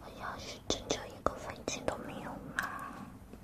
个要是真就一个房间都没有吗？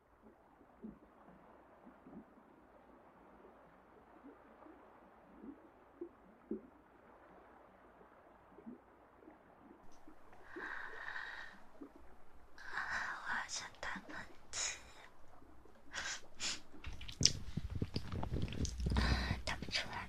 我好想打喷嚏，打不出来。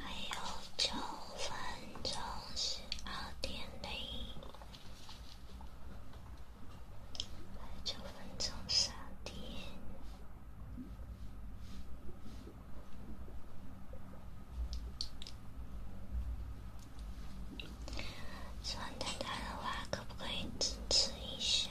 还有九分钟十二点零。九分钟，三点。喜欢等待的话，可不可以支持一下？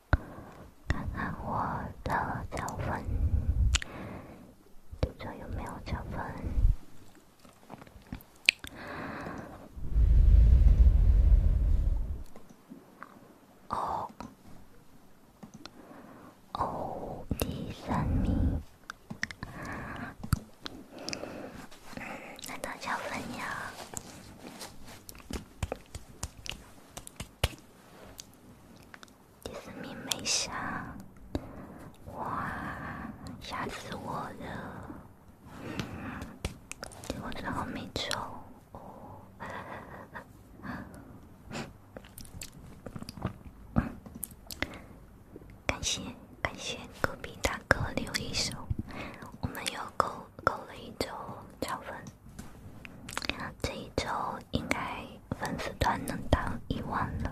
看看我的脚分，读这有没有脚分？哦哦，第三名，难道加分呀？第四名没下，哇，吓死我了！我最后没抽，感谢感谢隔壁大哥留一手，我们有狗。够了一周加粉。这一周应该粉丝团能到一万了。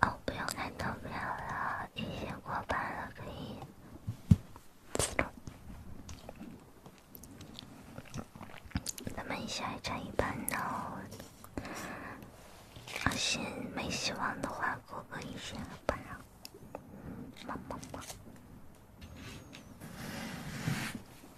哦，不用看投票了，已经过半了，可以。咱们还差一半呢，阿心没希望的话，哥哥一下吧，么么么。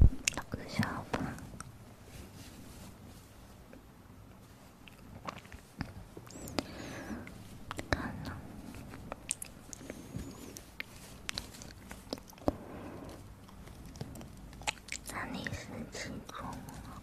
都不小吧？可能在你是其中了。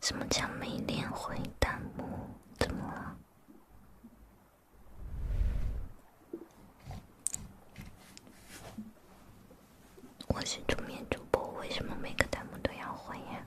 什么叫没脸回弹幕？怎么了？我是桌面主播，为什么每个弹幕都要回呀？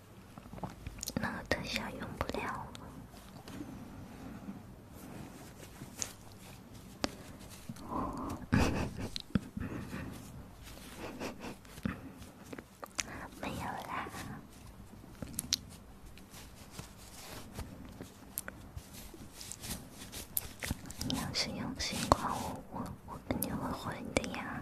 那个特效用不了 没有啦。你要是用心夸我，我我定会回的呀。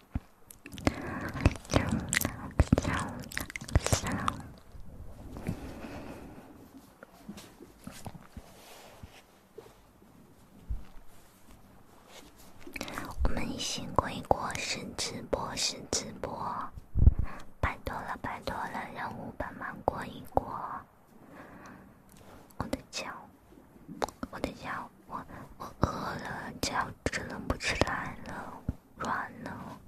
我们辛苦一过是直播，是直播，拜托了，拜托了，任务帮忙过一过。我的脚，我的脚。我我饿了，脚直冷不起来了，软了。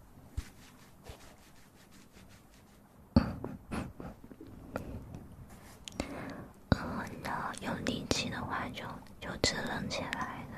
饿了有力气的话，就就支棱起来了。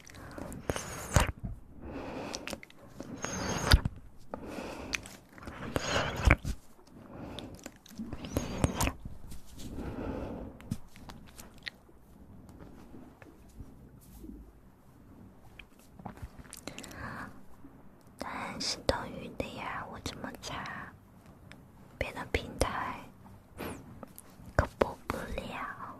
答案是多余的呀，我这么差，别的平台可播不了。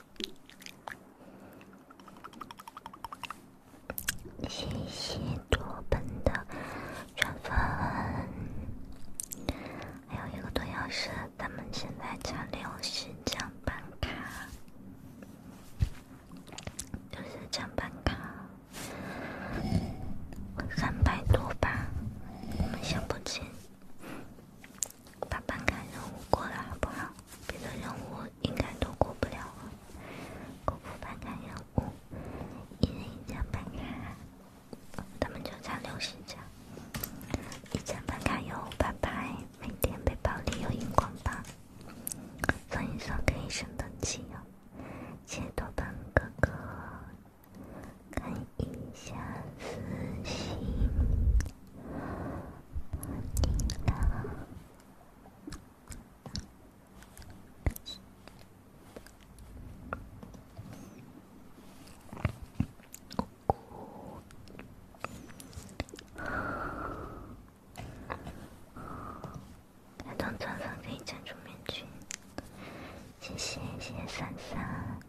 谢谢多本的转发，还有一个多小时，咱们现在差六十张办卡，六十张办卡，三百多吧，想不齐。把办卡任务过了好不好，别的任务应该都过不了了。客服办卡任务，一人一张办卡，他们就差六十张。一张办卡有五百，每天背包里有荧光棒，算一算可以升等级哟。请多帮哥哥看一下私信。你呢？谢谢，谢谢三三。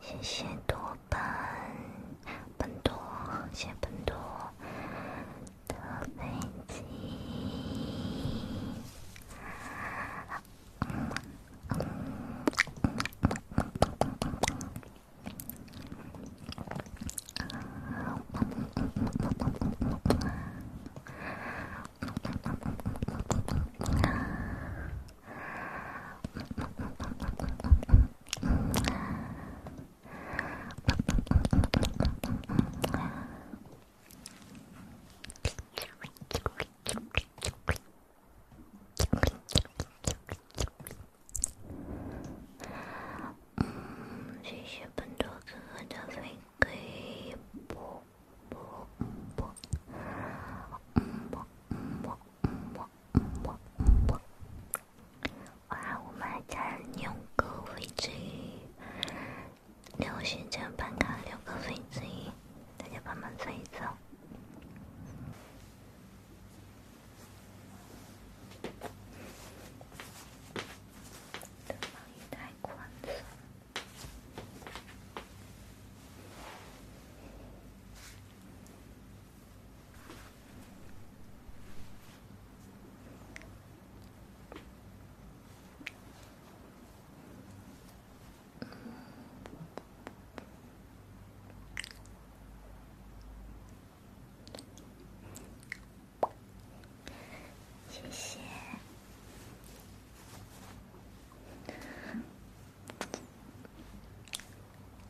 谢谢多奔奔多，谢谢奔多的美金。谢谢本兔子的反馈，啵啵啵，啵啵啵。嗯，我嗯我。哇，我们还加了六个分之一，然后旋转半卡六个分之一，大家帮忙猜一猜。这方太宽松。嗯，谢谢。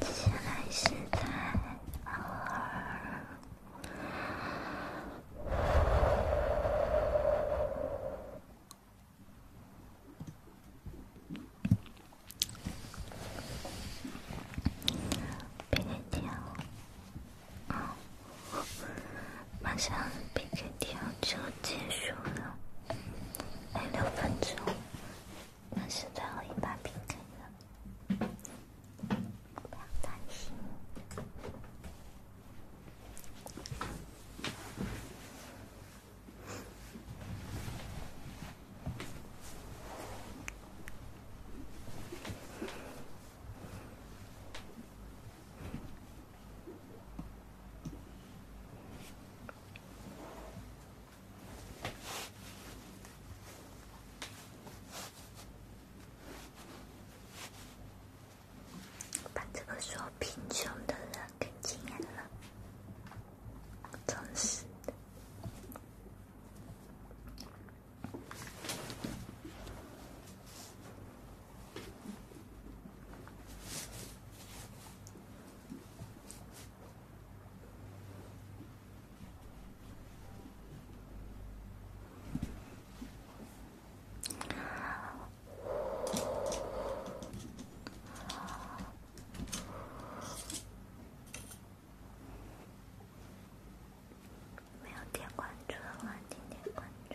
接下来是在偶尔，别来打扰，好。马上 PK 跳就结束了，还六分钟，那是最后一把 PK 了，把这个说贫穷的人给惊了，真是的。没有点关注的话，点点关注。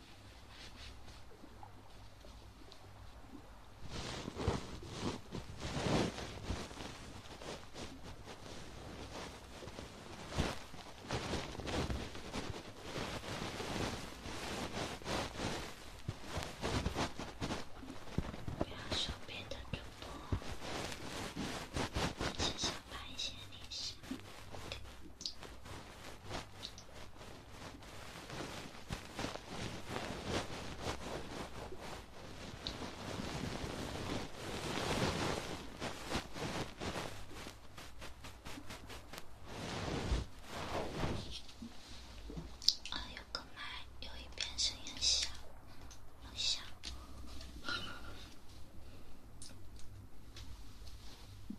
不要说别的主播，只想发一些零食。哎呀，个麦，有一边声音小，好小。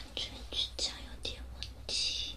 感觉这家有点问题。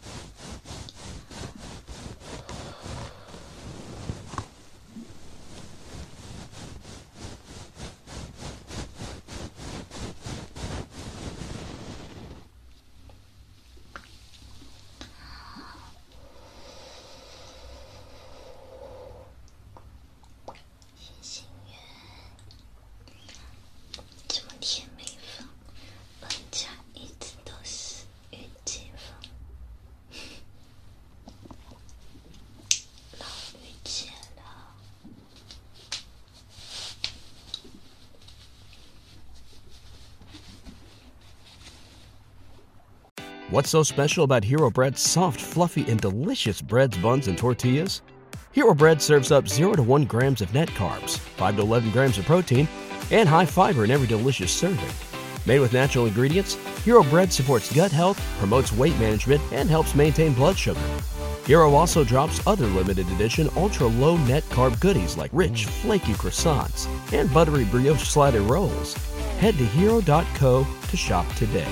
叶星源。What's so special about Hero Bread's soft, fluffy, and delicious breads, buns, and tortillas? Hero Bread serves up 0 to 1 grams of net carbs, 5 to 11 grams of protein, and high fiber in every delicious serving. Made with natural ingredients, Hero Bread supports gut health, promotes weight management, and helps maintain blood sugar. Hero also drops other limited edition ultra low net carb goodies like rich, flaky croissants and buttery brioche slider rolls. Head to hero.co to shop today.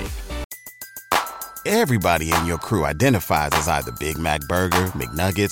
Everybody in your crew identifies as either Big Mac Burger, McNuggets,